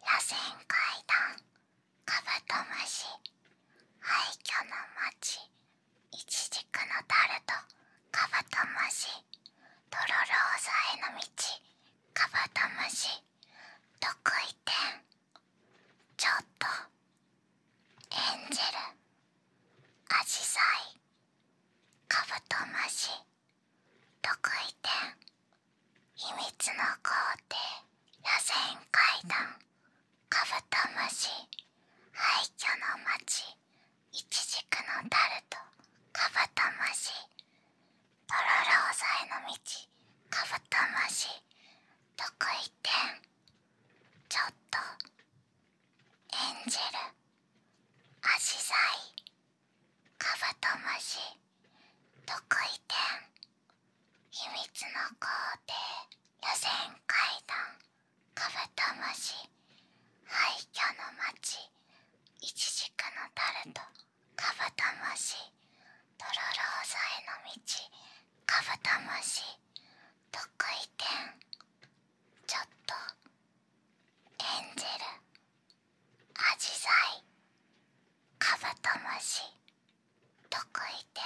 螺旋階段カブトムシ廃墟の街イチジクのタルトカブトムシとろろ押さえの道カブトムシ得意点ちょっとエンジェルアジサイカブトムシ得意点秘密の皇帝螺旋階段カブトムシ廃墟の街イチジクのタルトカブトムシとろろ押さえの道カブトムシ得意点ちょっと演じる。ェルアジサイカブトムシ特異点秘密の皇帝予選階段カブトムシ廃墟の街イチジクのタルトカブトムシトロローザへの道カブトムシ特異点ちょっとエンジェルアジサイカブトムシ特異点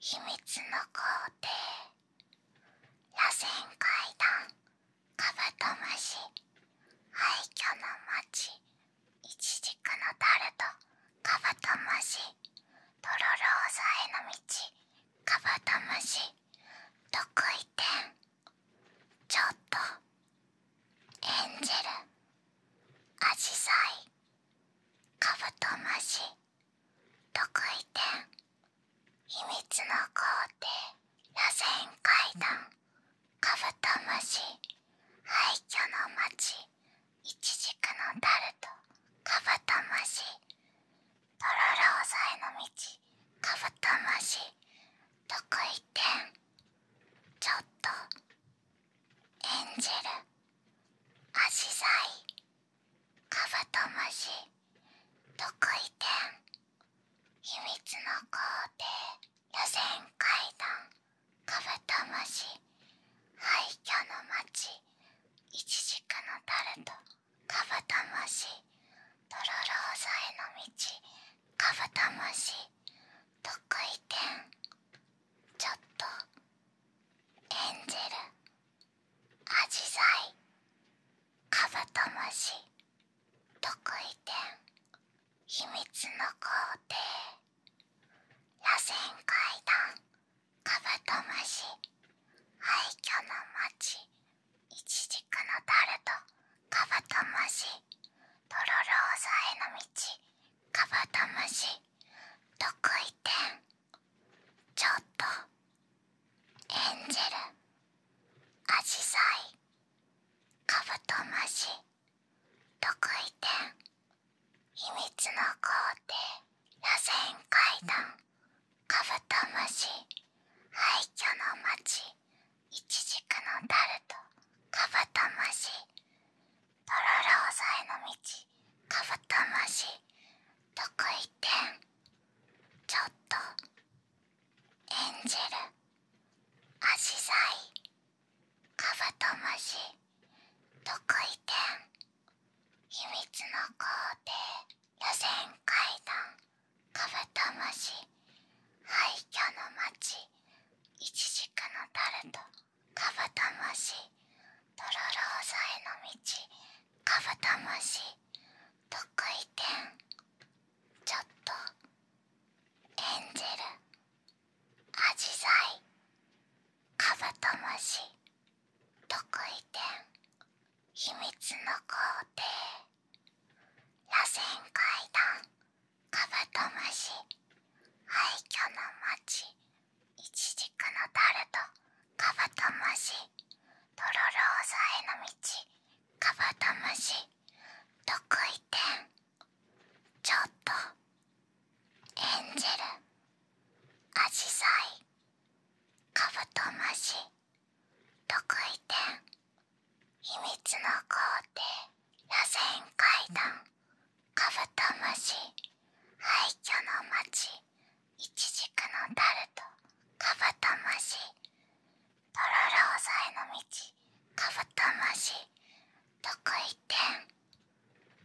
秘密の皇帝螺旋階段カブトムシ廃墟の街イチジクのタルトカブトムシとろろ押さえの道カブトムシ特異点ちょっとエンジェルアジサカブトムシ特異点秘密の皇帝螺旋階段カブトムシ廃墟の町イチジクのタルトカブトムシとろろ押さえの道カブトムシ特異点ちょっと演じる、足ルアジサカブトムシ特異点秘密の皇帝予選階段カブトムシ廃墟の街イチジクのタルトカブトムシとろろ押さえの道カブトムシ得意点ちょっとエンジェルアジサイカブトムシ得意点秘密の皇帝螺旋階段カブトムシ廃墟の街イチジクのタルトカブトムシとろろ押さえの道カブトムシ得意点ちょっとエンジェルアジサイカブトムシ得意点秘密の工程螺旋階段カブトムシ廃墟の街イチジクのタルトカブトムシとろろ押さえの道カブトムシ得意点ちょっとエンジェルアジサイカブトムシ得意点秘密の皇帝予選階段カブトムシ廃墟の町イチジクのタルトカブトムシとろろ押さえの道カブトムシ得意点ちょっとエンジェルアジサイカブトムシ得意点秘密の工程螺旋階段カブトムシ廃墟の町イチジクのタルトカブトムシトロロ押さえの道カブトムシ得意点ちょっとエンジェルアジサイカブトムシ得意点秘密の皇帝螺旋階段カブトムシ廃墟の街イチジクのタルトカブトムシとろろ押さえの道カブトムシ得意点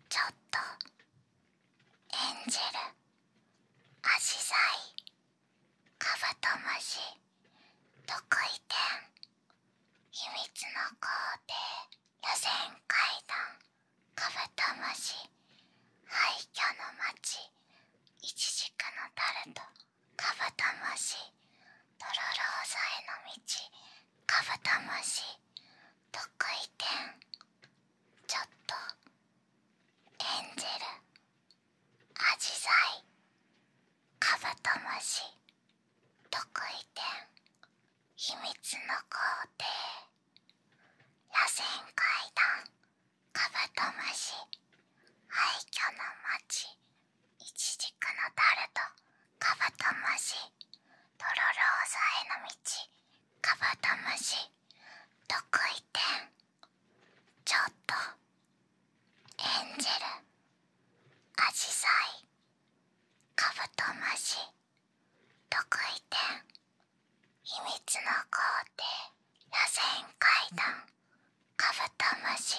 ちょっと演じる、足ルアジサイカブトムシ得意点秘密の皇帝螺旋階段カブトムシ廃墟の町イチジクのタルトカブトムシトロローザへの道カブトムシ得意点ちょっとエンジェルアジサイカブトムシ特異点秘密の皇帝螺旋階段カブトムシ廃墟の町イチジクのタルトカブトムシとろろ押さえの道カブトムシ特異点ちょっとエンジェルアジサイカブトムシ特異点秘密の皇帝螺旋階段カブトムシ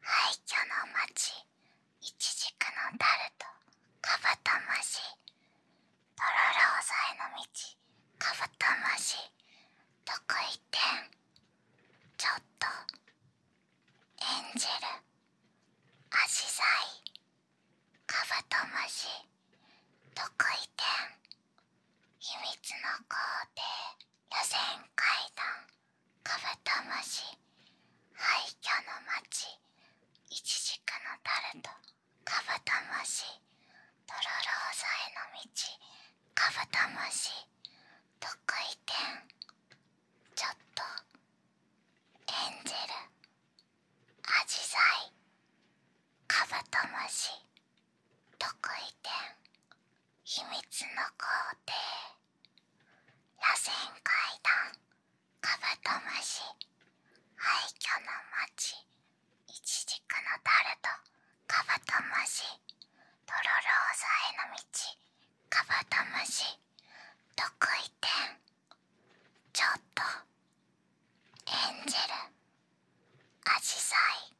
廃墟の街イチジクのタルトカブトムシとろろ押さえの道カブトムシ特異点ちょっとエンジェルアジサイカブトムシ特異点秘密の皇帝予選階段カブトムシ廃墟の町イチジクのタルトカブトムシトロローサへの道カブトムシ特異点ちょっとエンジェルアジサイカブトムシ特異点秘密の皇帝螺旋階段カブトムシ廃墟の町イチジクのタルトカブトムシとろろ押さえの道カブトムシ得意点ちょっとエンジェルアジサイ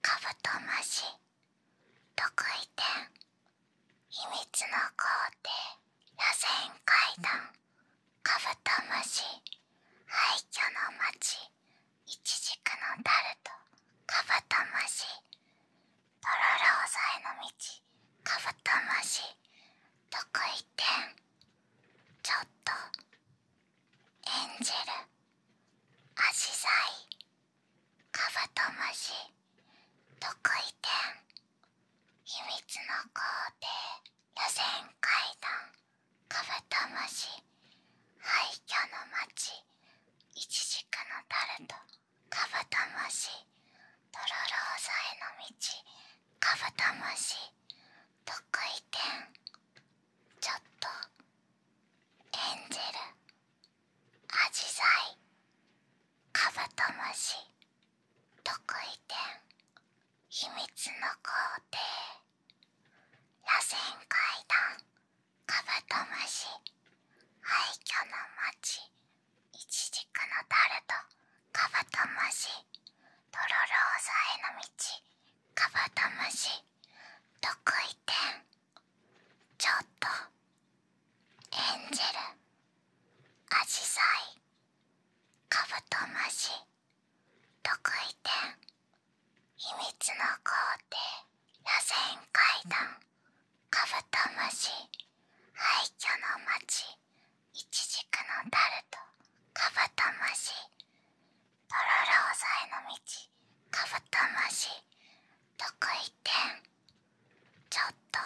カブトムシ得意点秘密の工程螺旋階段カブトムシ廃墟の街イチジクのタルトカブトムシとろろ押えの道カブトムシ得意点ちょっと演じる。足ルアジサイカブトムシ得意点秘密の皇帝予選階段カブトムシ廃墟の町イチジクのタルトカブトムシとろろ押さえの道カブトムシ得意点ちょっとエンジェルアジサイカブトムシ得意点秘密の工程螺旋階段カブトムシ廃墟の街イチジクのタルトカブトムシとろろ押さえの道カブトムシ得意点ちょっとエンジェルアジサイカブトムシ得意点秘密の皇帝螺旋階段カブトムシ廃墟の街イチジクのタルトカブトムシトロロ押さえの道カブトムシ得意点ちょっと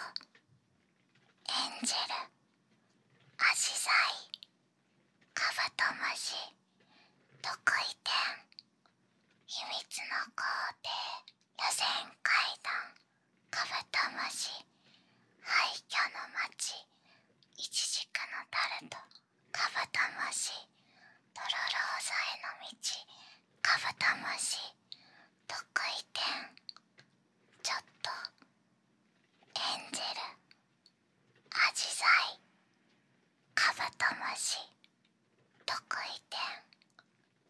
演じる、ェルアジサイカブトムシ得意点秘密の皇帝予選階段カブトムシ廃墟の町イチジクのタルトカブトムシトロロ押さえの道カブトムシ得意点ちょっとエンジェルアジサイカブトムシ得意点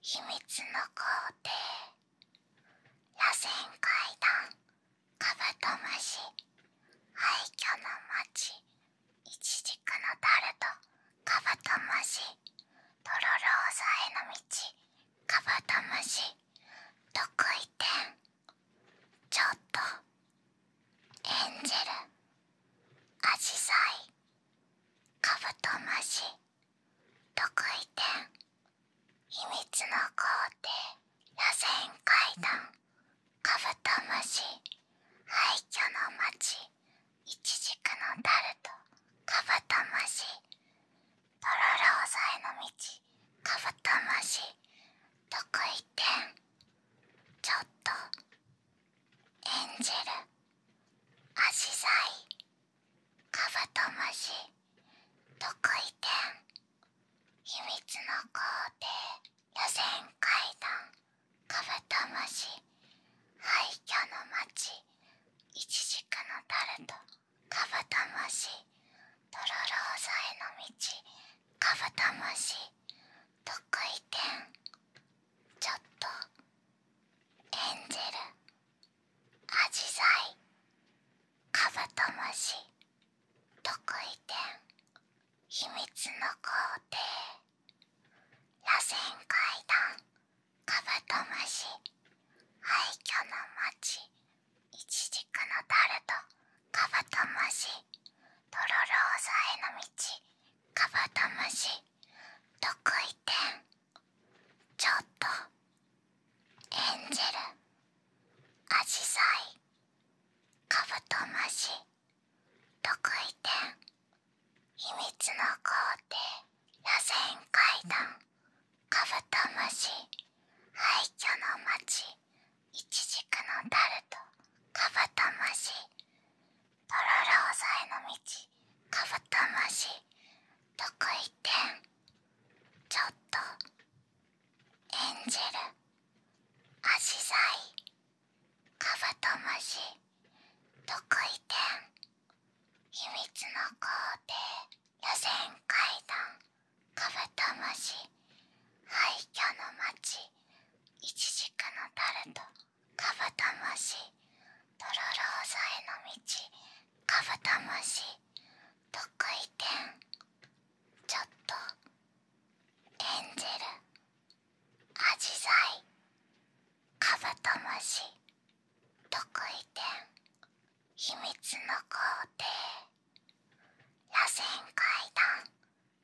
秘密の皇帝螺旋階段カブトムシ廃墟の町イチジクのタルトカブトムシとろろーさへの道カブトムシ得意点ちょっとエンジェルアジサイカブトムシ特異点秘密の皇帝螺旋階段カブトムシ廃墟の街イチジクのタルトカブトムシとろろ押さえの道カブトムシ特異点ちょっとエンジェルアジサイカブトムシ特異点秘密の工程予選階段カブトムシ廃墟の街イチジクのタルトカブトムシトロローザへの道カブトムシ特異点ちょっとエンジェルアジサイカブトムシ特異点秘密の皇帝螺ん。階段カブトムシ廃墟の街イチジクのタルトカブトムシとろろ押さえの道カブトムシ特異点ちょっとエンジェルアジサイカブトムシ特異点秘密の皇帝螺旋階段カブトムシ廃墟の町イチジクのタルトカブトムシトロローサえの道カブトムシ得意点ちょっと演じるアジサイカブトムシ得てん、秘密の皇帝、予選階段カブトムシ廃墟の街イチジクのタルトカブトムシトロローさえの道カブトムシ特異点ちょっとエンジェルアジサイカブトムシ特異点秘密の皇帝螺旋階段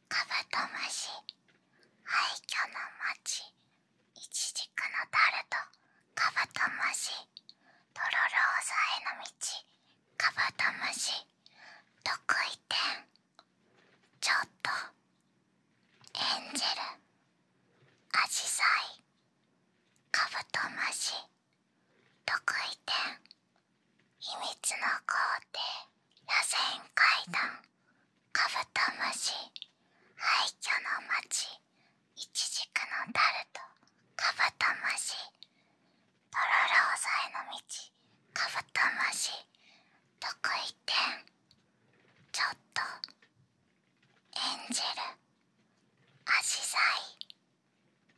カブトムシ廃墟の街イチジクのタルトカブトムシとロろ押さえの道カブトムシ得意点ちょっとエンジェルアジサイカブトムシ得意点秘密の工程螺旋階段カブトムシ廃墟の街イチジクのタルトカブトムシとろろ押さえの道カブトムシ得意点ちょっと演じる、ェルアジサイ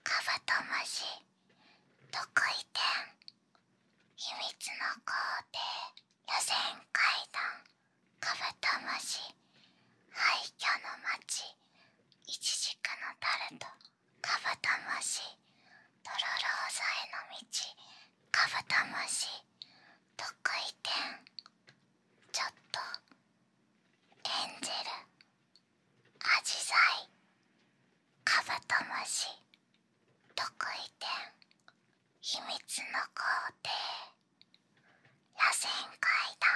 カブトムシ得意点秘密の工程予選階段カブトムシ廃墟の町イチジクのタルトカブトムシトロロ押さえの道カブトムシ得意点ちょっとエンジェルアジサイカブトムシ得意点秘密の工程螺旋階段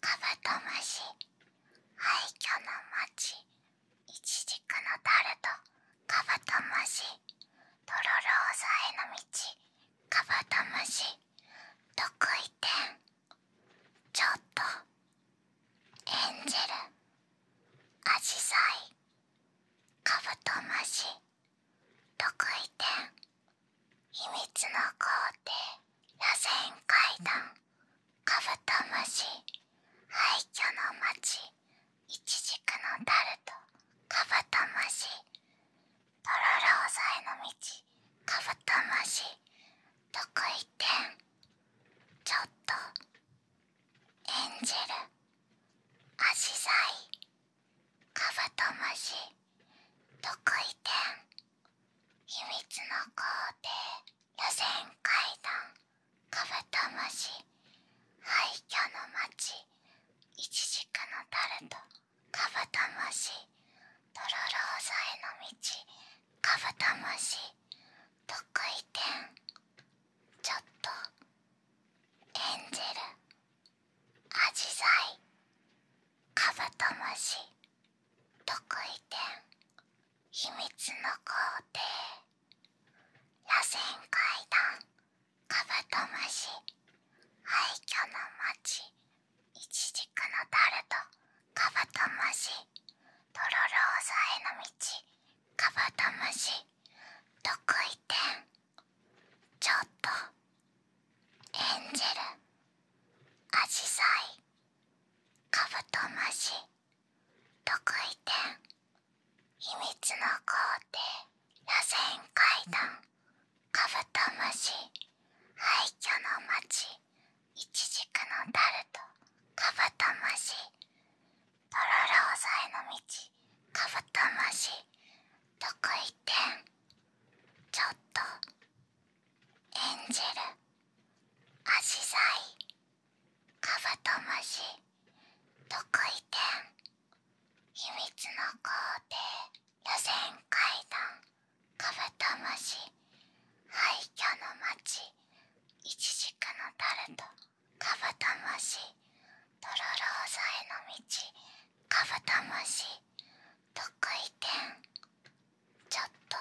カブトムシ廃墟の街イチジクのタルトカブトムシとろろ押さえの道カブトムシ得意点ちょっとエンジェルアジサイカブトムシ特異点秘密の皇帝螺旋階段カブトムシ廃墟の街イチジクのタルトカブトムシとろろ押さえの道カブトムシ特異点ちょっとエンジェルアジサイカブトムシ特異点秘密の工程予選階段カブトムシ廃墟の街イチジクのタルトカブトムシトロローザへの道カブトムシ特異点ちょっとエンジェルアジサイカブトムシ特異点秘密の皇帝螺旋階段カブトムシ廃墟の街イチジクのタルトカブトムシとろろ押さえの道カブトムシ特異点ちょっとエンジェルアジサイカブトムシ特異点秘密の皇帝螺旋階段カブトムシ廃墟の町イチジクのタルトカブトムシとろろ押さえの道カブトムシ特異点ちょっと演じる、ェルアジサイカブトムシいてん、秘密の皇帝、予選階段カブトムシ廃墟の街イチジクのタルトカブトムシとろろーサへの道カブトムシ得意点ちょっと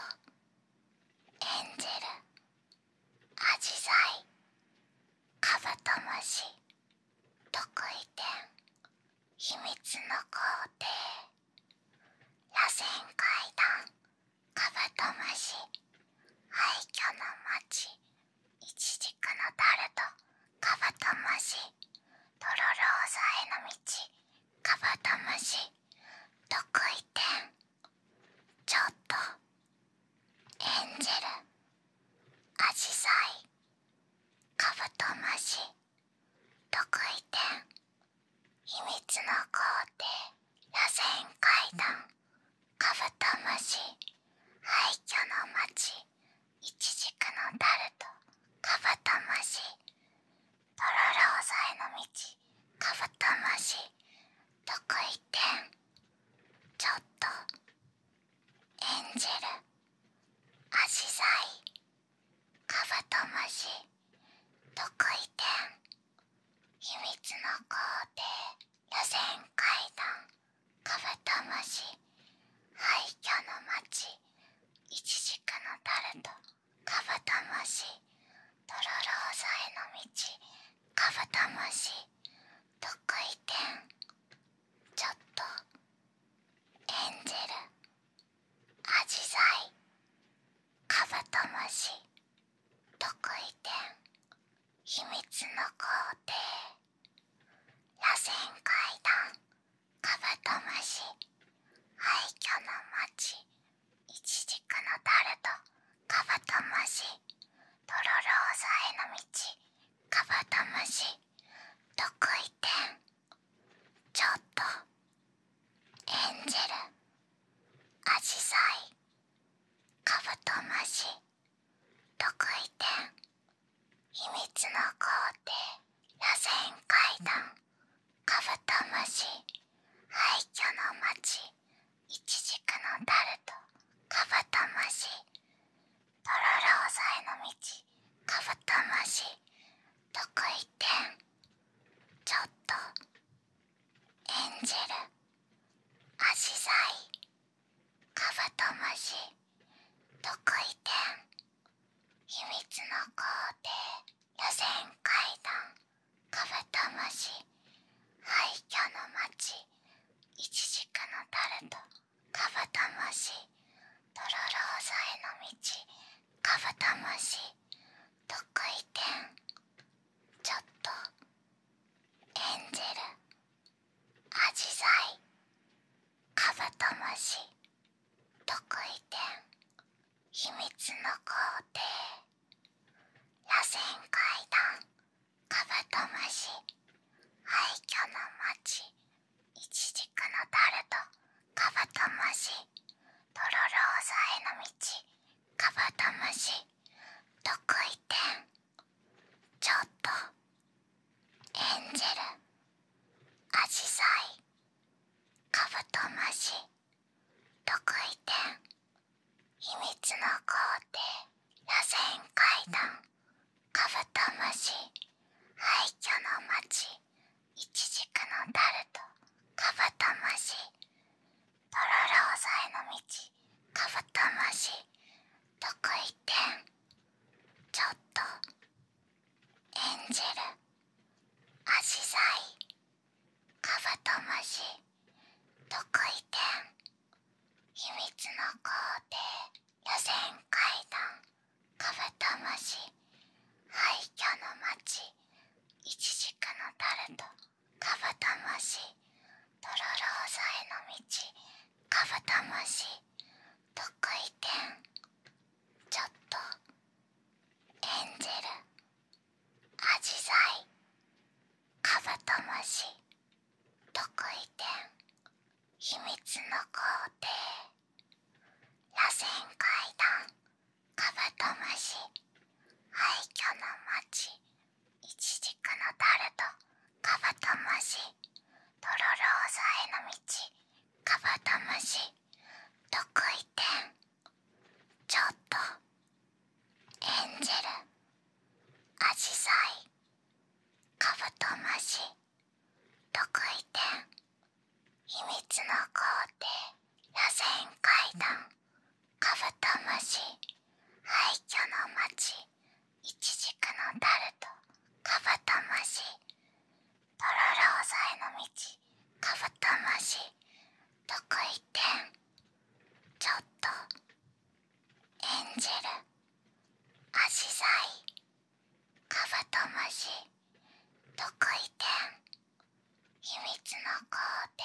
エンジェルアジサイカブトムシ得意点秘密の皇帝螺旋階段カブトムシ廃墟の町イチジクのタルトカブトムシとろろ押さえの道カブトムシ得意点ちょっとエンジェルアジサイカブトムシ得意点秘密の工程螺旋階段カブトムシ廃墟の街イチジクのタルトカブトムシとろろ押さえの道カブトムシ得意点ちょっとエンジェルアジサイカブトムシ得意点秘密の工程予選階段カブトムシ廃墟の街イチジクのタルトカブトムシトロロ押さえの道カブトムシ得意点ちょっとエンジェルアジサイカブトムシ得意点秘密の工程螺旋階段カブトムシ廃墟の街イチジクのタルトカブトムシトロロ押さえの道カブトムシ得意点ちょっとエンジェルアジサイカブトムシ得意点秘密の皇帝螺旋階段カブトムシ廃墟の町イチジクのタルトカブトムシトロロ押ザえの道カブトムシ得意点ちょっとエンジェルアジサイカブトムシ得意点秘密の皇帝螺旋階段カブトムシ廃墟の町イチジクのタルトカブトムシトロローザへの道カブトムシ得意点ちょっとエンジェルアジサイカブトムシ得意点秘密の工程螺旋階段カブトムシ廃墟の街イチジクのタルトカブトムシとろろーさへの道カブトムシ得意点ちょっとエンジェルアジサイカブトムシ特異点秘密の皇帝螺旋階段カブトムシ廃墟の街イチジクのタルトカブトムシとろろ押さえの道カブトムシ特異点ちょっと演じる、ェルアジサイカブトムシ特異点秘密の皇帝予選階段カブトムシ廃墟の町イチジクのタルトカブトムシトロローサへの道カブトムシ特異点ちょっとエンジェルアジサイカブトムシ特異点秘密の皇帝螺旋階段カブトムシ廃墟の街イチジクのタルトカブトムシとろろ押さえの道カブトムシ得意点ちょっとエンジェルアジサイカブトムシ得意点秘密の皇帝螺旋階段カブトムシ廃墟の街イチジクのタルトカブトムシとろろ押さえの道カブトムシ特異点ちょっと演じる、ェルアシサイカブトムシ特異点秘密の皇帝、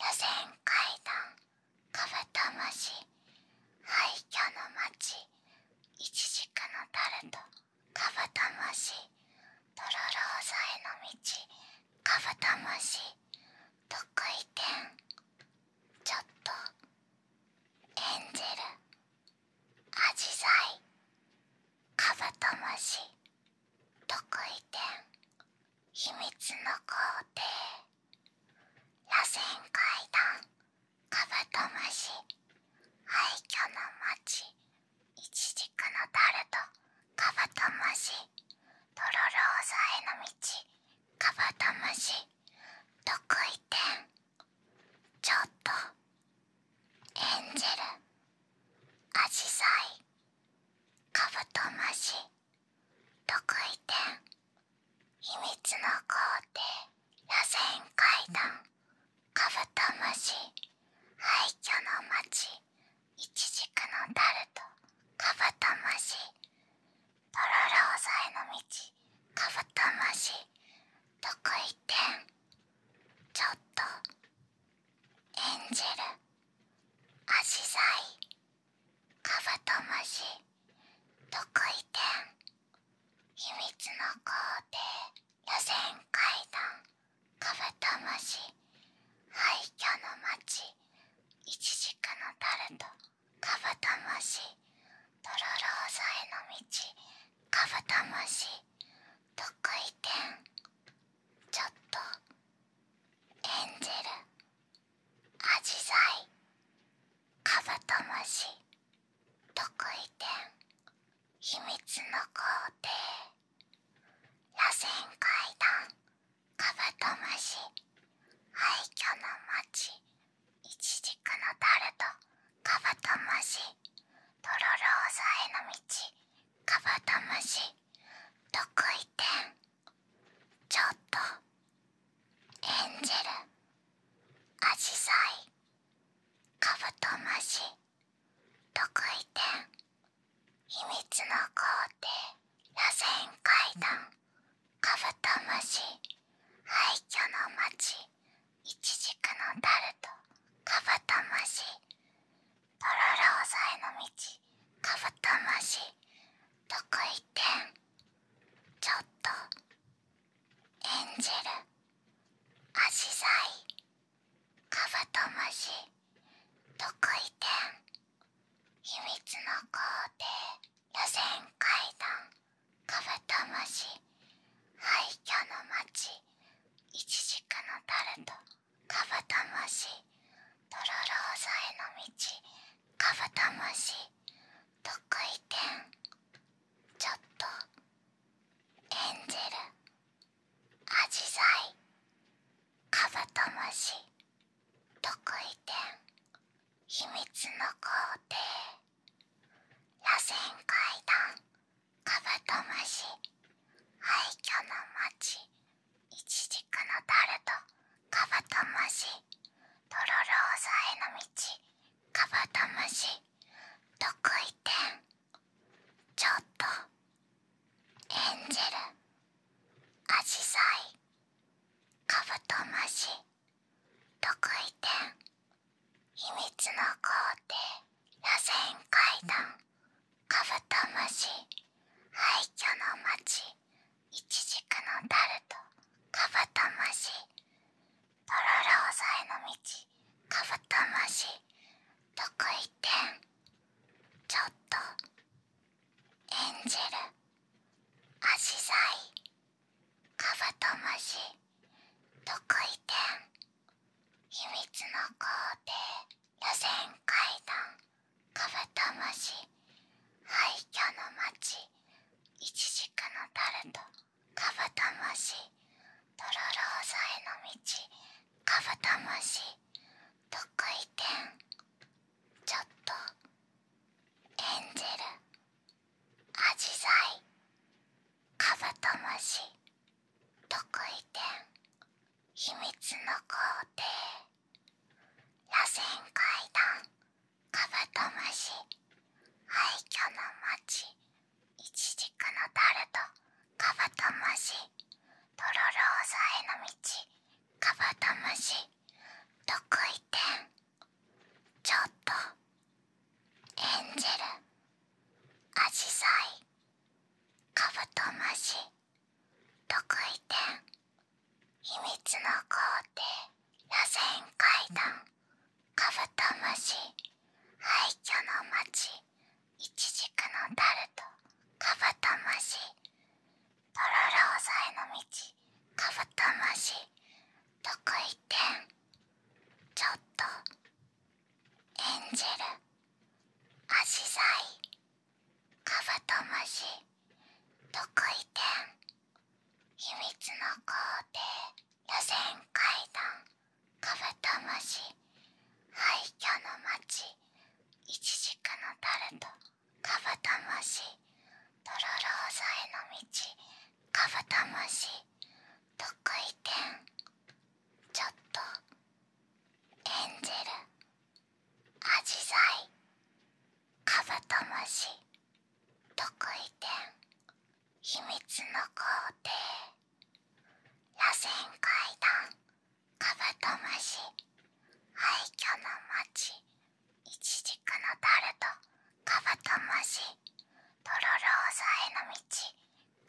予選階段カブトムシ廃墟の街イチジクのタルトカブトムシとろろ押さえの道カブトムシ得意点ちょっとエンジェルアジサイカブトムシ得意点秘密の工程螺旋階段カブトムシ廃墟の街イチジクのタルトカブトムシとろろ押さえの道カブトムシ得意点ちょっとエンジェルアジサイカブトムシ得意点秘密の工程螺旋階段カブトムシ廃墟の街イチジクのタルトカブトムシトロロ押さえの道カブトムシ得意点ちょっと演じる、ェルアジサイカブトムシ得意点秘密の皇帝…予選階段カブトムシ廃墟の街イチジクのタルトカブトムシトロローザへの道カブトムシ得意点ちょっとエンジェルアジサイカブトムシ得意点秘密の皇帝螺旋階段カブトムシ廃墟の町イチジクのタルトカブトムシトロローザへの道カブトムシ得意点ちょっとエンジェルアジサイカブトムシ特異点秘密の皇帝螺旋階段カブトムシ廃墟の街イチジクのタルトカブトムシとろろ押さえの道カブトムシ特異点ちょっと演じる。ェルアジサイカブトムシ特異点秘密の工程螺旋階段カブトムシ廃墟の街イチジクのタルトカブトムシトロローザへの道カブトムシ特異点ちょっとエンジェルアジサイカブトムシ特異点秘密の皇帝螺旋階段カブトムシ廃墟の街イチジクのタルトカブトムシとろろ押さえの道カブトムシ特異点ちょっとエンジェルアジサイカブトムシ特異点秘密の皇帝螺旋階段カブトムシ廃墟の町イチジクのタルトカブトムシとろろ押さえの道カブトムシ特異点ちょっと演じる、足ルアカブトムシ特異点秘密の皇帝、予選階段カブトムシ廃墟の街イチジクのタルトカブトムシとろろ押さえの道カブトムシ得意点ちょっとエンジェルアジサイカブトムシ得意点秘密の工程螺旋階段カブトムシ廃墟の街イチジクのタルトカブトムシトロロ押さえの道カブトムシ得意点ちょっとエンジェルアジサイカブトムシ得意点秘密の工程螺旋階段カブトムシ廃墟の街イチジクのタルトカブトムシとろろ押さえの道カブトムシ得意点ちょっとエンジェルアジサイカブトムシ得意点秘密の皇帝予選階段カブトムシ廃墟の町イチジクのタルトカブトムシトロロ押さえの道カブトムシ得意点ちょっとエンジェルアジサイカブトムシ得意点秘密の工程螺旋階段カブトムシ廃墟の街イチジクのタルトカブトムシとろろ押さえの道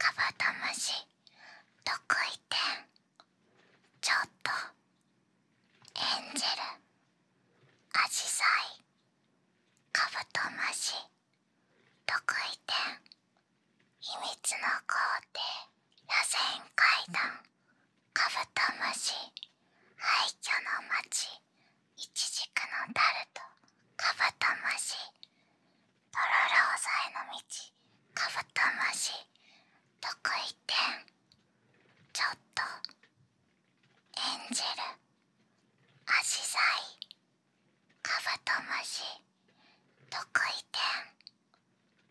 カブトムシ得意点ちょっとエンジェルアジサイカブトムシ特異点秘密の工程螺旋階段カブトムシ廃墟の街イチジクのタルトカブトムシとろろ押さえの道カブトムシ特異点ちょっと演じるアジサイカブトムシ特異点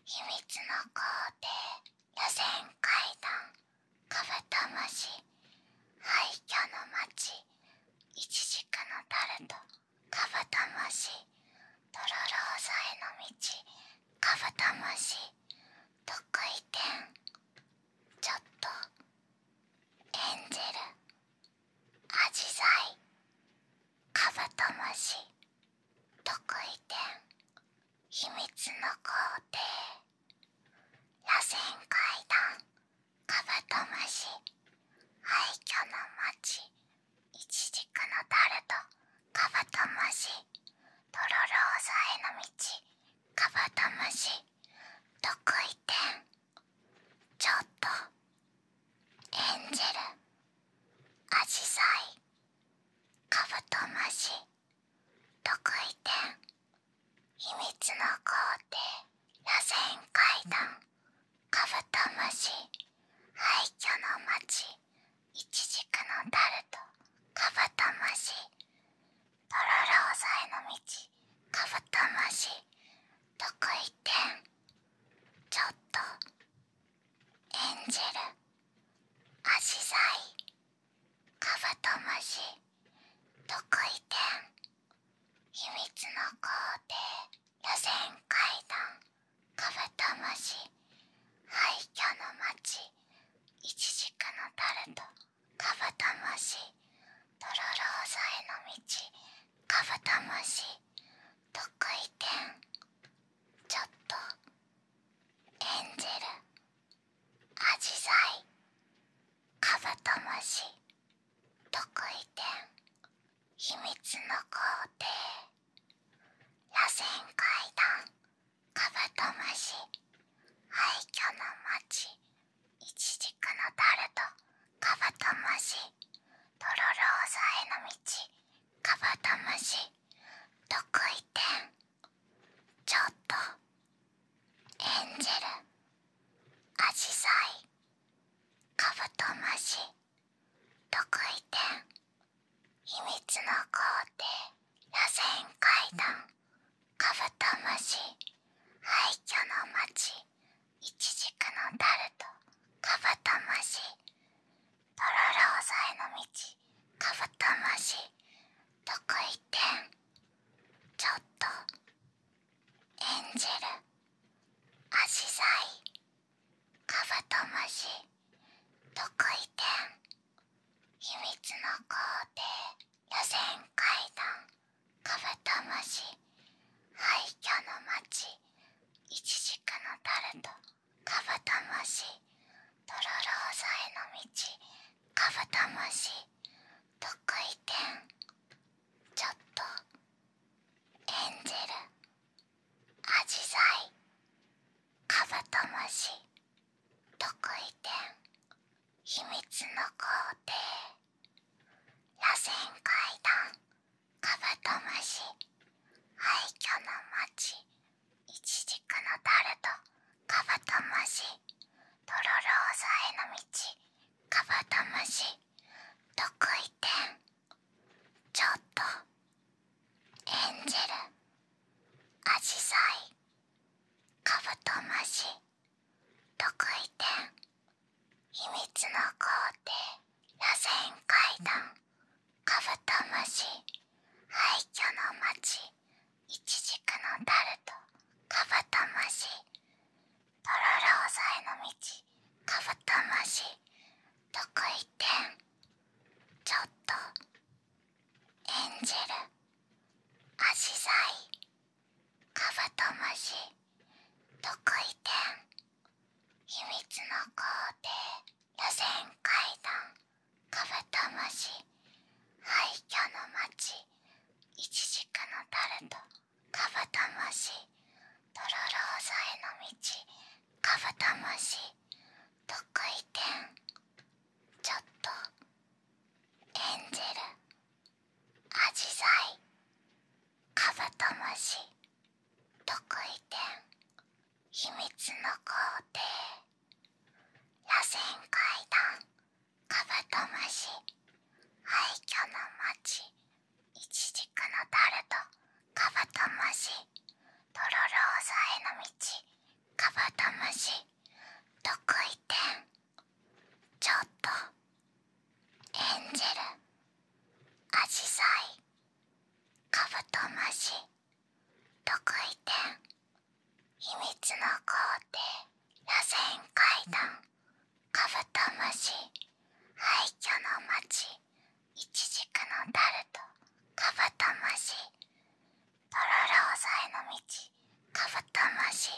秘密の工程螺旋階段カブトムシ廃墟の街イチジクのタルトカブトムシトロローザへの道カブトムシ特異点ちょっとエンジェルアジサイカブトムシ特異点秘密の皇帝螺旋階段カブトムシ廃墟の町イチジクのタルトカブトムシとろろ押さえの道カブトムシ特異点ちょっとエンジェルアジサイカブトムシ特異点秘密の皇帝螺旋階段カブトムシ廃墟の町イチジクのタルトカブトムシとロろ押さえの道カブトムシ特異点ちょっと演じる、ェルアジサイカブトムシ特異点秘密の皇帝予選階段カブトムシ廃墟の街イチジクのタルトカブトムシとろろ押さえの道カブトムシ特異点ちょっとエンジェルアジサイカブトムシ特異点秘密の皇帝螺旋階段カブトムシ廃墟の街イチジクのタルトカブトムシとろろ押さえの道カブトムシ得意点ちょっとエンジェルアジサイカブトムシ得意点秘密の工程螺旋階段カブトムシ廃墟の街イチジクのタルトカブトムシトロロ押さえの道カブトムシ特異点ちょっとエンジェルアシサイカブトムシ特異点秘密の皇帝、予選階段カブトムシ廃墟の街イチジクのタルトカブトムシトロロ押さえの道カブトムシ得意点ちょっとエンジェルアジサイカブトムシ得意点秘密の皇帝螺旋階段カブトムシ廃墟の街イチジクのタルトカブトムシトロロ押さえの道カブトムシ得意点ちょっとエンジェルアジサイカブトムシ得意点秘密の皇帝、螺旋階段カブトムシ廃墟の街イチジクのタルトカブトムシトロロ押さえの道カブトムシ得意点ちょっとエンジェルアジサイカブトムシ得意点秘密の皇帝、螺旋階段カブトムシ廃墟の街イチジクのタルトカブトムシトロローザへの道カブトムシ得意点ちょっとエンジェルアジサイカブトムシ得意点秘密の工程螺旋階段カブトムシ廃墟の街イチジクのタルトカブトムシトロローザへの道カブトムシ得意点ちょっとエンジェルアジサイカブトムシ特異点秘密の工程螺旋階段カブトムシ廃墟の街イチジクのタルトカブトムシとろろ押さえの道カブトムシ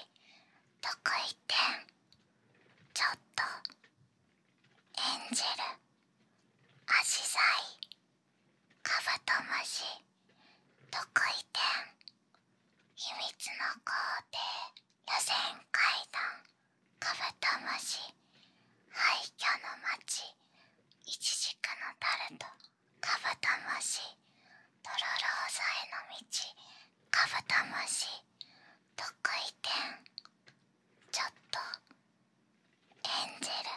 特異点ちょっとエンジェルアジサイカブトムシ特異点秘密の皇帝螺旋階段カブトムシ廃墟の町イチジクのタルトカブトムシトロローサへの道カブトムシ特異点ちょっとエンジェル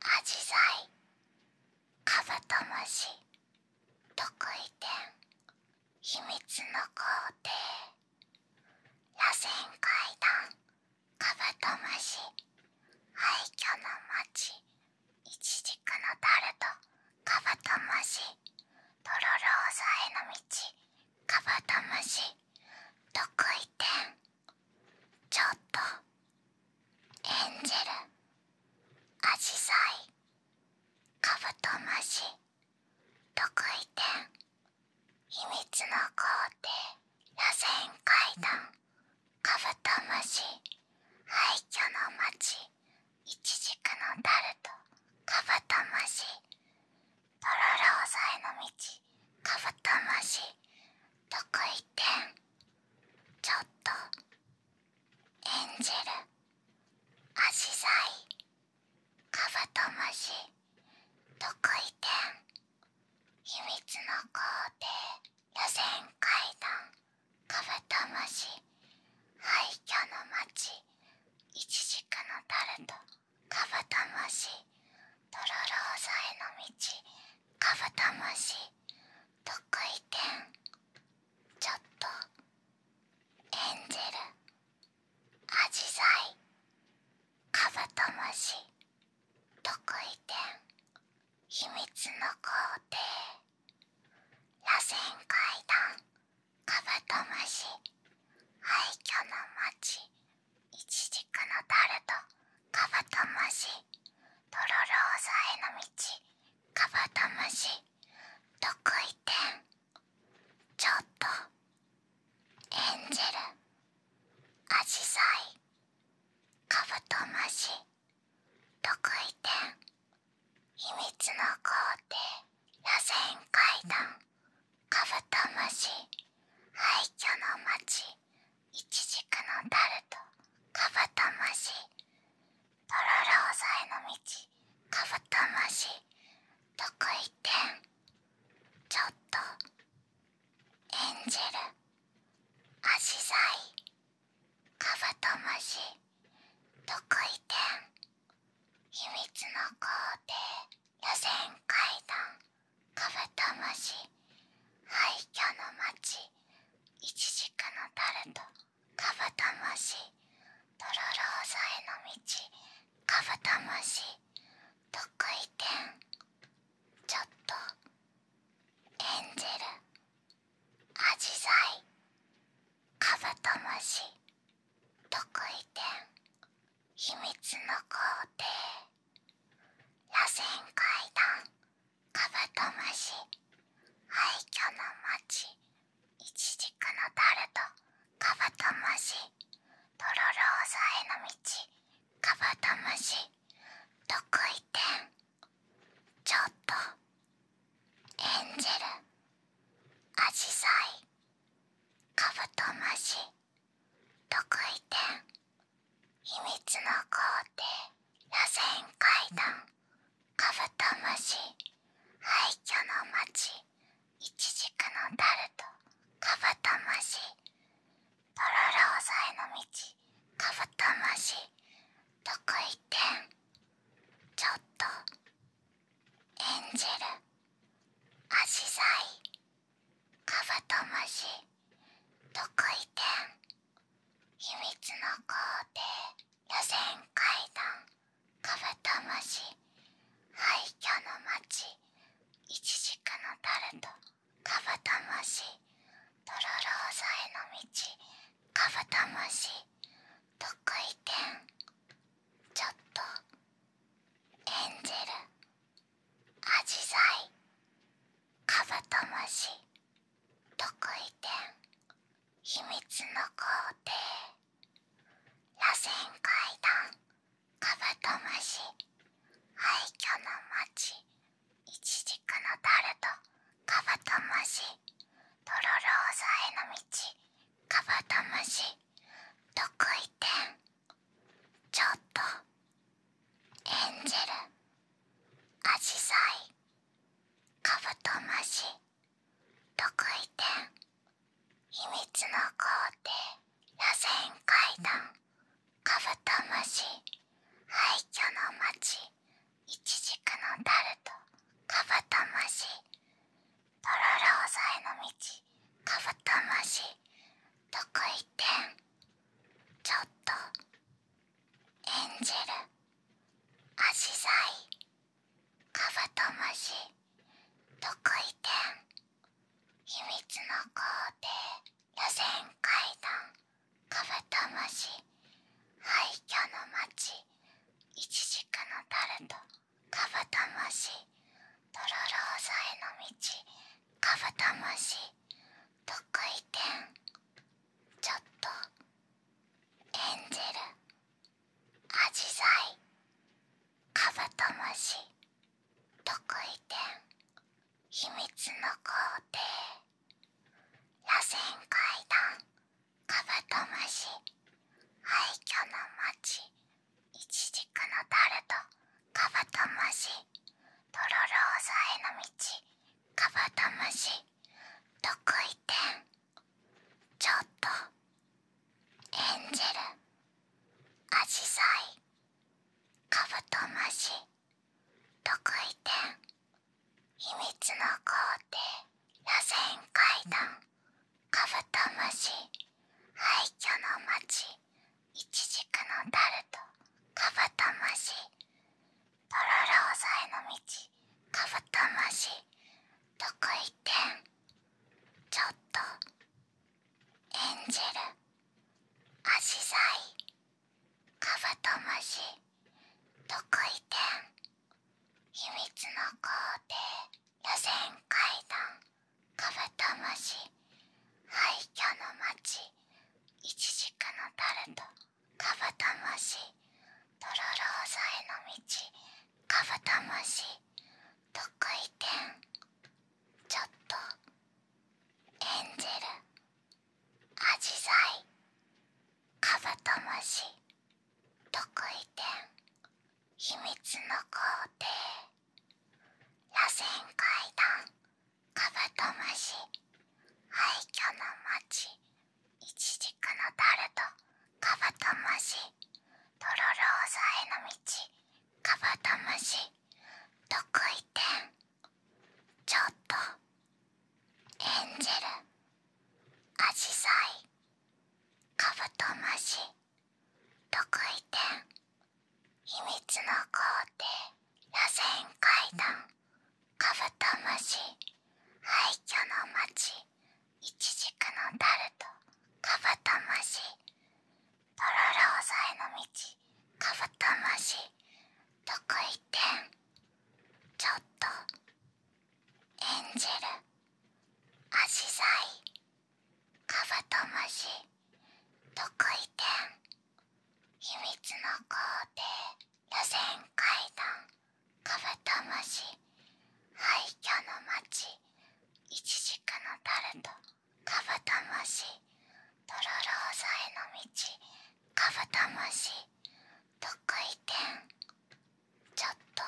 アジサイカブトムシ特異点秘密の皇帝螺旋階段カブトムシ廃墟の街イチジクのタルトカブトムシとろろ押さえの道カブトムシ得意点ちょっとエンジェルアジサイカブトムシ得意点秘密の皇帝螺旋階段カブトムシ廃墟の街イチジクのタルトカブトムシとろろ押さえの道カブトムシ特異点ちょっとエンジェルアジサイカブトムシ特異点秘密の皇帝予選階段カブトムシ廃墟の町イチジクのタルトカブトムシとろろ押さえの道カブトムシ得意点ちょっとエンジェルアジサイカブトムシ得意点秘密の皇帝螺旋階段カブトムシ廃墟の町イチジクのタルトカブトムシとろろ押さえの道カブトムシ得意点ちょっとエンジェルアジサイカブトムシ得意点秘密の皇帝螺旋階段カブトムシ廃墟の街イチジクのタルトカブトムシトロロ押さえの道カブトムシ得意点ちょっと演じる、ェルアジサイカブトムシ得意点秘密の皇帝…螺旋階段カブトムシ廃墟の街イチジクのタルトカブトムシとろろ押さえの道カブトムシ得意点ちょっとエンジェルアジサイカブトムシ特異点秘密の皇帝螺旋階段カブトムシ廃墟の町イチジクのタルトカブトムシとろろ押さえの道カブトムシ特異点ちょっとエンジェルアジサイカブトムシ特異点秘密の皇帝螺旋階段カブトムシ廃墟の街イチジクのタルトカブトムシトロロ押さえの道カブトムシ特異点ちょっと演じるアジサイカブトムシ特異点秘密の工程予選階段カブトムシ廃墟の街イチジクのタルトカブトムシトロローザへの道カブトムシ特異点ちょっとエンジェルアジサイカブトムシ特異点秘密の皇帝螺旋階段カブトムシ廃墟の町イチジクのタルトカブトムシとろろ押さえの道カブトムシ特異点ちょっとエンジェルアジサイカブトムシ特異点秘密の皇帝螺旋階段カブトムシ廃墟の街イチジクのタルトカブトムシとろろ押えの道カブトムシ特異点ちょっと演じる。足ルアジサイカブトムシ特異点秘密の皇帝予選階段カブトムシ廃墟の町イチジクのタルトカブトムシとろろ押さえの道カブトムシ得意点ちょっとエンジェルアジサイカブトムシ得意点秘密の工程螺旋階段カブトムシ廃墟の街イチジクのタルトカブトムシトロロ押さえの道カブトムシ得意点ちょっとエンジェルアジサイカブトムシ得意点秘密の工程螺旋階段カブトムシ廃墟の街イチジクのタルトカブトムシとろろ押さえの道カブトムシ特異点ちょっとエンジェルアシサイカブトムシ特異点秘密の皇帝螺旋階段カブトムシ廃墟の街イチジクのタルトカブトムシトロローザへの道カブトムシ得意点ちょっとエンジェルアジサイカブトムシ得意点秘密の工程螺旋階段カブトムシ廃墟の街イチジクのタルトカブトムシとろろ押さえの道カブトムシ得意点ちょっとエンジェルアジサイカブトムシ特異点秘密の工程螺旋階段カブトムシ廃墟の街イチジクのタルトカブトムシとろろ押さえの道カブトムシ特異点ちょっとエンジェルアジサイカブトムシ特異点秘密の工程螺旋階段カブトムシ廃墟の街イチジクのタルトカブトムシトロローザへの道カブトムシ特異点ちょっと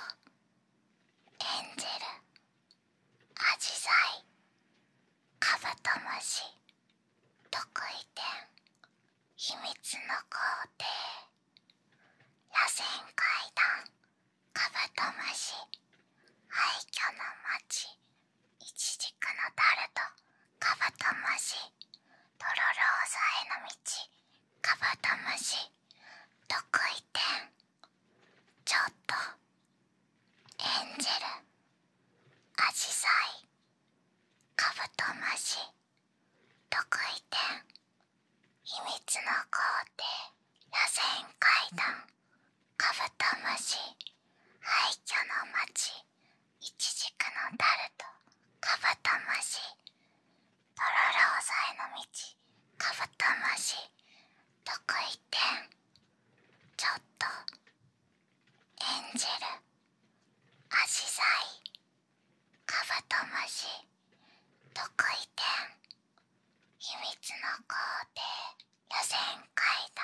エンジェルアジサイカブトムシ特異点秘密の皇帝螺旋階段カブトムシ廃墟の街イチジクのタルトカブトムシとろろーさえの道カブトムシ特異点ちょっとエンジェルアジサイカブトムシ特異点秘密の皇帝螺旋階段カブトマシ廃墟の街イチジクのタルトカブトマシとろろ押さえの道カブトマシ特異点ちょっと演じる、足ルい、カブトムシ特異点秘密の皇帝予選階段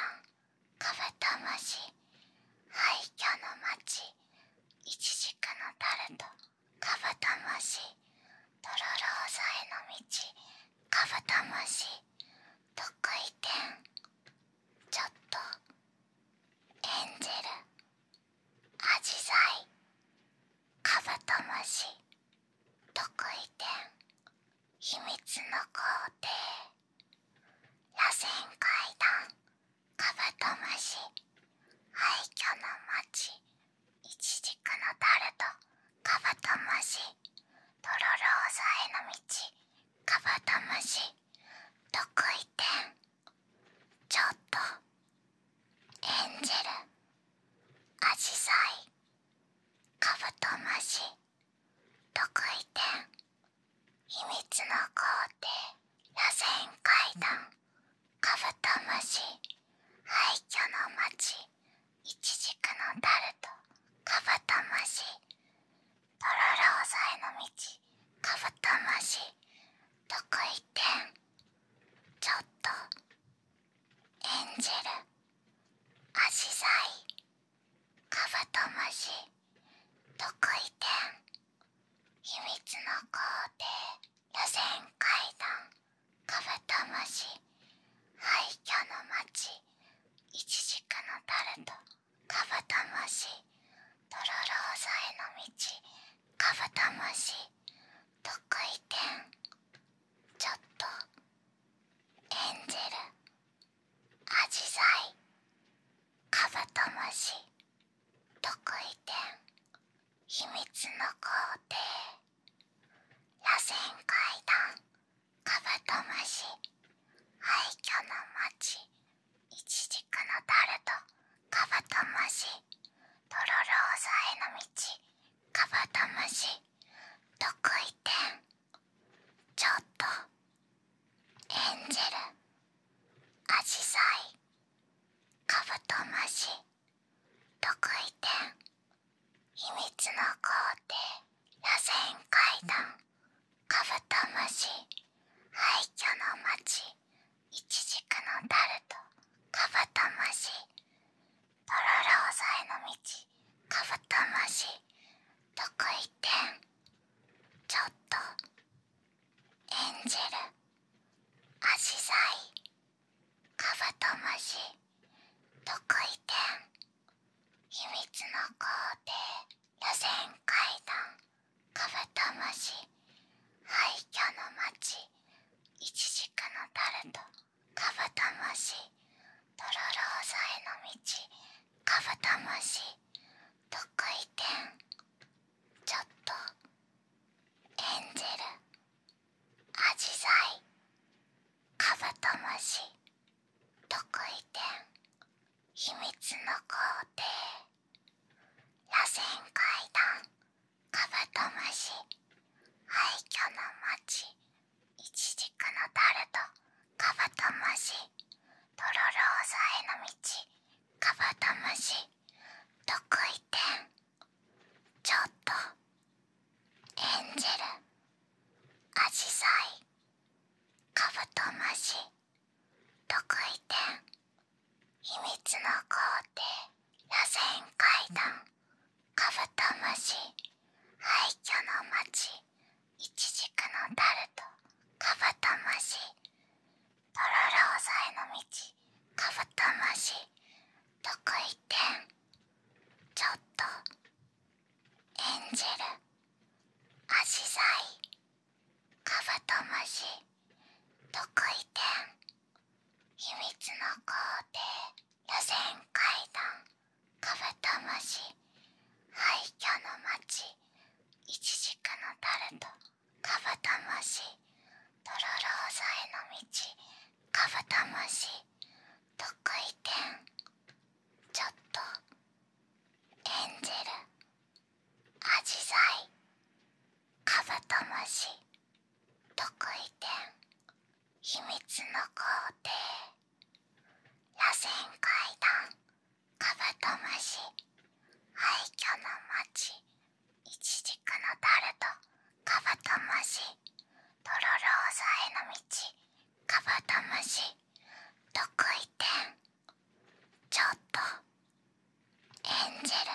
カブトムシ廃墟の街イチジクのタルトカブトムシトロローサへの道カブトムシ特異点ちょっとエンジェルアジサイカブトムシ特異点秘密の皇帝螺旋階段カブトムシ廃墟の町イチジクのタルトカブトムシとろろ押さえの道カブトムシ得意点ちょっとエンジェルアジサイカブトムシ得意点秘密の皇帝螺旋階段カブトムシ廃墟の街イチジクのタルトカブトムシとろろ押さえの道カブトムシ得意点ちょっとエンジェルアジサイカブトムシ得意点秘密の皇帝、予選階段カブトムシ廃墟の街イチジクのタルトカブトムシトロロ押さえの道カブトムシ特異点ちょっとエンジェルアジサイカブトムシ特異点秘密の皇帝螺旋階段カブトムシ廃墟の街イチジクのタルトカブトムシトロロ押さえの道カブトムシ得意点ちょっとエンジェルアジサイカブトムシ得意点秘密の皇帝、螺旋階段カブトムシ廃墟の街イチジクのタルトカブトムシとろろ押さえの道カブトムシ得意点ちょっと演じるアシサイカブトムシ得意点秘密の皇帝螺旋階段カブトムシ廃墟の町イチジクのタルトカブトムシトロローザへの道カブトムシ得意点ちょっとエンジェルアジサイカブトムシ特異点秘密の皇帝螺旋階段カブトムシ廃墟の街イチジクのタルトカブトムシとろろ押さえの道カブトムシ特異点ちょっとエンジェルアジサイカブトムシ特異点秘密の皇帝螺旋階段カブトムシ廃墟の町イチジクのタルトカブトムシトロロ押サえの道カブトムシ特異点ちょっと演じる、ェルアジサイカブトムシ特異点秘密の皇帝螺旋階段カブトムシ廃墟の街イチジクのタルトカブトムシトロローサへの道カブトムシ特異点ちょっとエンジェルアジサイカブトムシ特異点秘密の皇帝螺旋階段カブトムシ廃墟の街イチジクのタルトカブトムシとろろ押さえの道カブトムシ得意点ちょっとエンジェル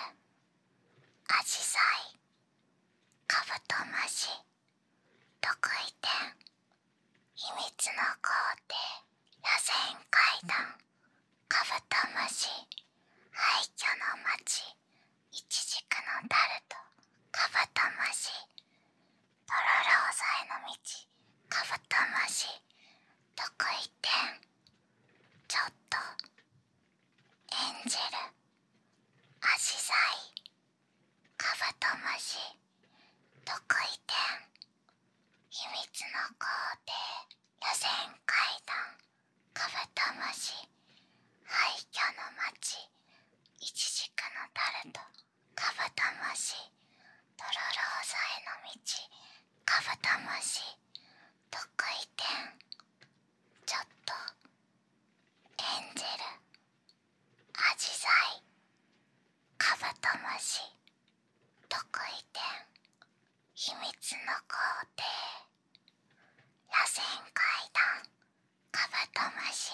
アジサイカブトムシ得意点秘密の工程螺旋階段カブトムシ廃墟の街イチジクのタルトカブトムシとろろ押えの道カブトムシ特異点ちょっと演じる。足ルアジサイカブトムシ特異点秘密の皇帝螺旋階段カブトムシ廃墟の町イチジクのタルトカブトムシとろろ押さえの道カブトムシ特異点ちょっとエンジェルアジサイカブトムシ特異点秘密の皇帝螺旋階段カブトムシ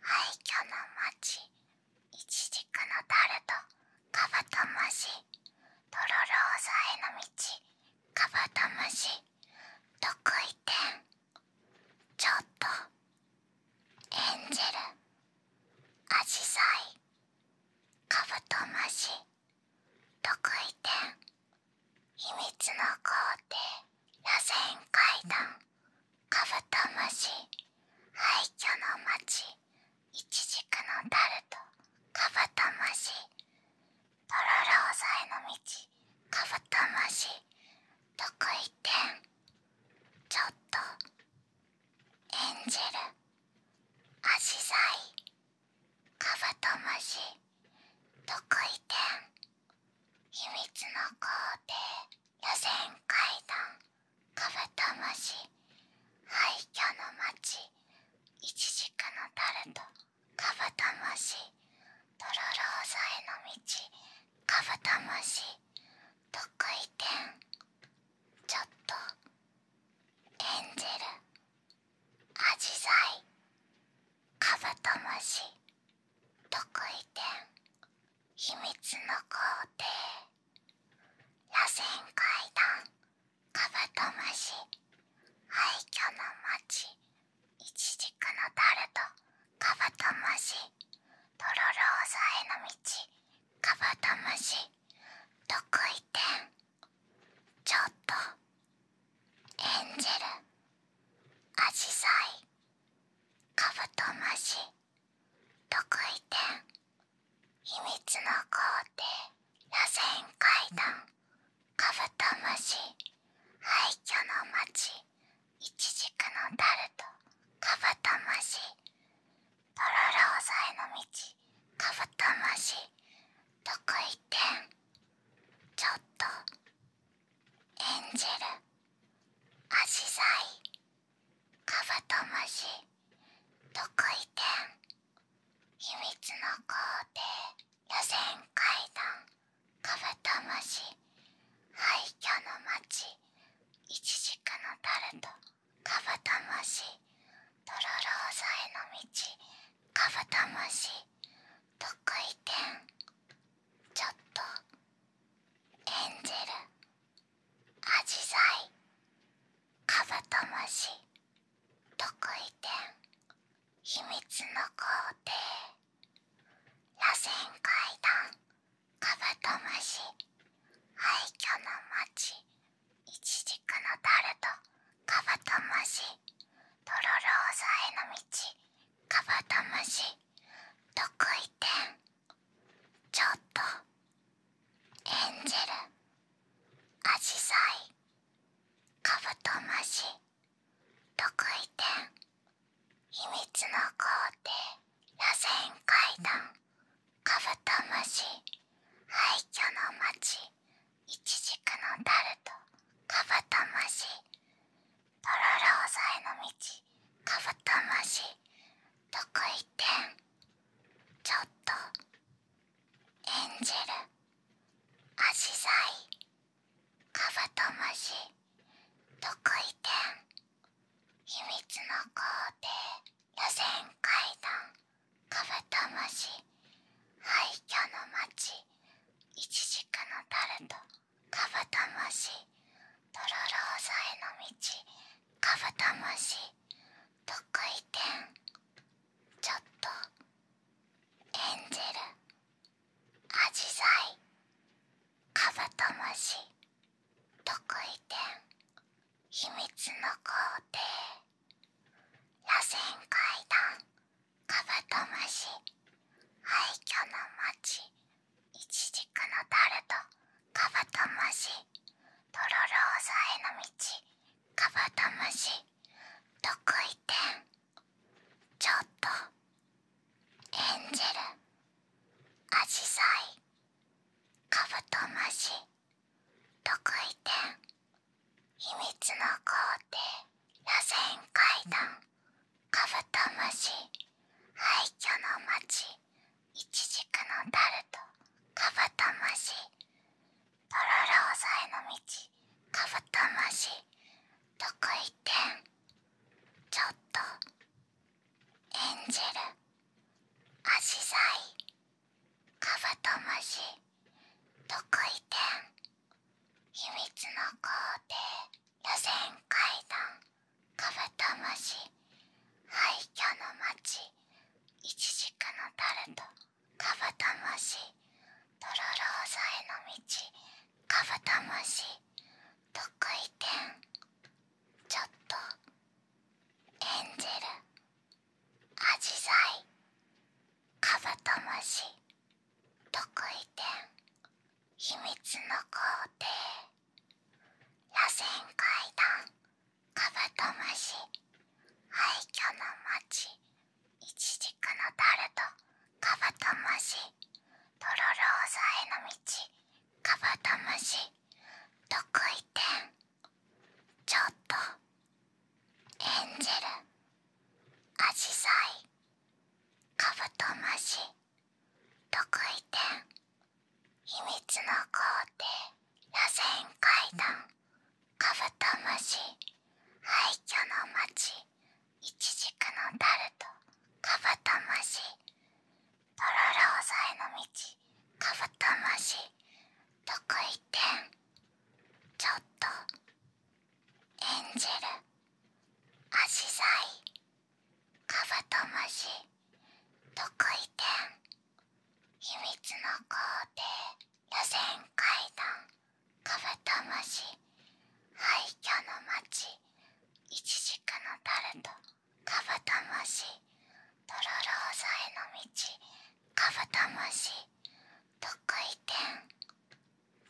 廃墟の町イチジクのタルトカブトムシとろろ押さえの道カブトムシ得意点ちょっとエンジェルアジサイカブトムシ得意点秘密の皇帝螺旋階段カブトムシ廃墟の町イチジクのタルトカブトムシトロロ押さえの道カブトムシ得意点ちょっと演じる、ェルアジサイカブトムシ得意点秘密の工程予選階段カブトムシ廃墟の街イチジクのタルトカブトムシトロローザへの道カブトムシ得意点ちょっとエンジェルアジサイカブトムシ得意点秘密の皇帝螺旋階段カブトムシ廃墟の町イチジクのタルトカブトムシとろろ押さえの道カブトムシ得意点ちょっとエンジェルアジサイカブトムシ特異点秘密の工程螺旋階段カブトムシ廃墟の街イチジクのタルトカブトムシとろろ押さえの道カブトムシ特異点ちょっと演じる、ェルアジサイカブトムシ特異点秘密の皇帝予選階段カブトムシ廃墟の街イチジクのタルトカブトムシトロローサへの道カブトムシ特異点ちょっとエンジェルアジサイカブトムシ特異点秘密の皇帝螺旋階段カブトムシ廃墟の街イチジクのタルトカブトムシとろろ押さえの道カブトムシ特異点ちょっとエンジェルアジサイカブトムシ特異点秘密の皇帝螺旋階段カブトムシ廃墟の街イチジクのタルトカブトムシとろろ押さの道カブトムシ得意点ちょっと演じる。足ルアカブトムシ得意点秘密の工程予選。階段カブトムシ廃墟の町イチジクのタルトカブトムシとろろ押さえの道カブトムシ得意点ちょっとエンジェルアジサイカブトムシ得意点秘密の工程螺旋階段カブトムシ廃墟の街イチジクのタルトカブトムシトロロ押さえの道カブトムシ得意点ちょっとエンジェルアジサイカブトムシ得意点秘密の皇帝螺旋階段カブトムシ廃墟の街イチジクのタルトカブトムシとろろ押さえの道カブトムシ得意点ちょっと演じる、足ルアカブトムシ得意点秘密の工程螺旋階段カブトムシ廃墟の街イチジクのタルトカブトムシトロローザへの道カブトムシ得意点ちょっとエンジェルアジサイカブトムシ得意点秘密の工程螺旋階段カブトムシ廃墟の街イチジクのタルトカブトムシとろろ押さえの道カブトムシ得意点ちょっとエンジェルアジサイカブトムシ特異点秘密の皇帝螺旋階段カブトムシ廃墟の街イチジクのタルトカブトムシトロロ押さえの道カブトムシ特異点ちょっと演じる。ェルアシサイカブトムシ特異点秘密の工程予選階段カブトムシ廃墟の街イチジクのタルトカブトムシトロローサへの道カブトムシ特異点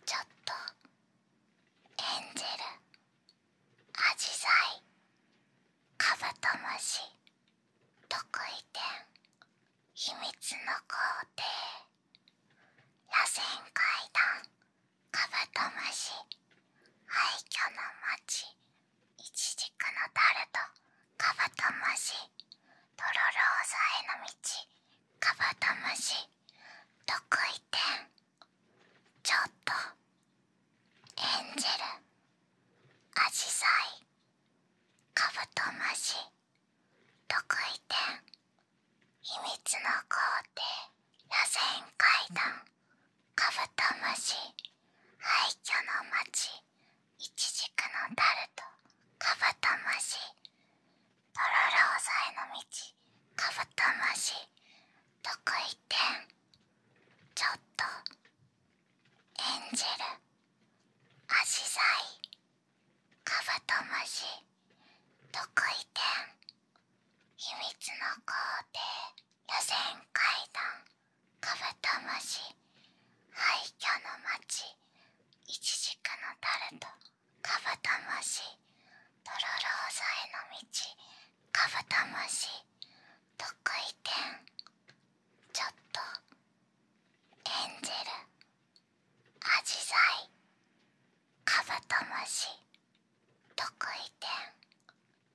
ちょっとエンジェルアジサイカブトムシ特異点秘密の皇帝螺旋階段カブトムシ廃墟の街イチジクのタルトカブトムシとろろーさえの道カブトムシ特異点ちょっとエンジェルアジサイカブトムシ特異点秘密の皇帝螺旋階段カブトムシ廃墟の街イチジクのタルトカブトムシとろろ押さえの道カブトムシ特異点ちょっと演じる、足ルい、カブトムシ特異点秘密の皇帝螺旋階段カブトムシ廃墟の街イチジクのタルトカブトムシトロローサへの道カブトムシ特異点ちょっとエンジェルアジサイカブトムシ特異点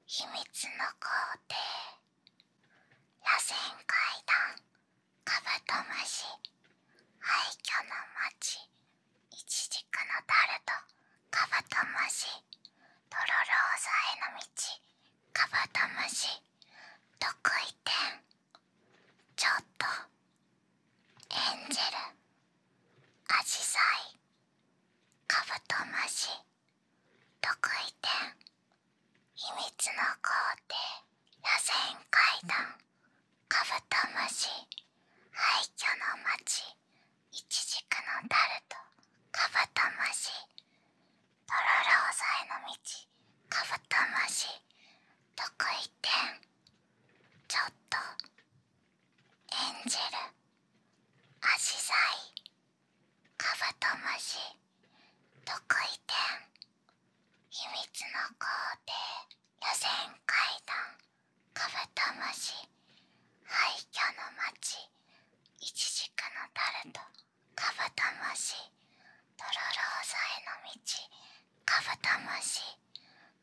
秘密の皇帝螺旋階段カブトムシ廃墟の街イチジクのタルトカブトムシとろろ押さえの道カブトムシ得意点ちょっとエンジェルアジサイカブトムシ得意点秘密の工程螺旋階段カブトムシ廃墟の街イチジクのタルトカブトムシとろろ押さえの道カブトムシ得意点ちょっとエンジェルアジサイカブトムシ得意点秘密の皇帝、予選階段カブトムシ廃墟の街イチジクのタルトカブトムシとろろ押さえの道カブトムシ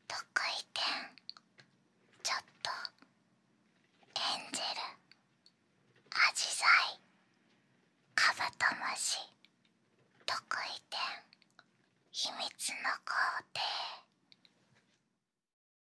得意点ちょっとエンジェルアジサイカブトムシ得意点秘密の工程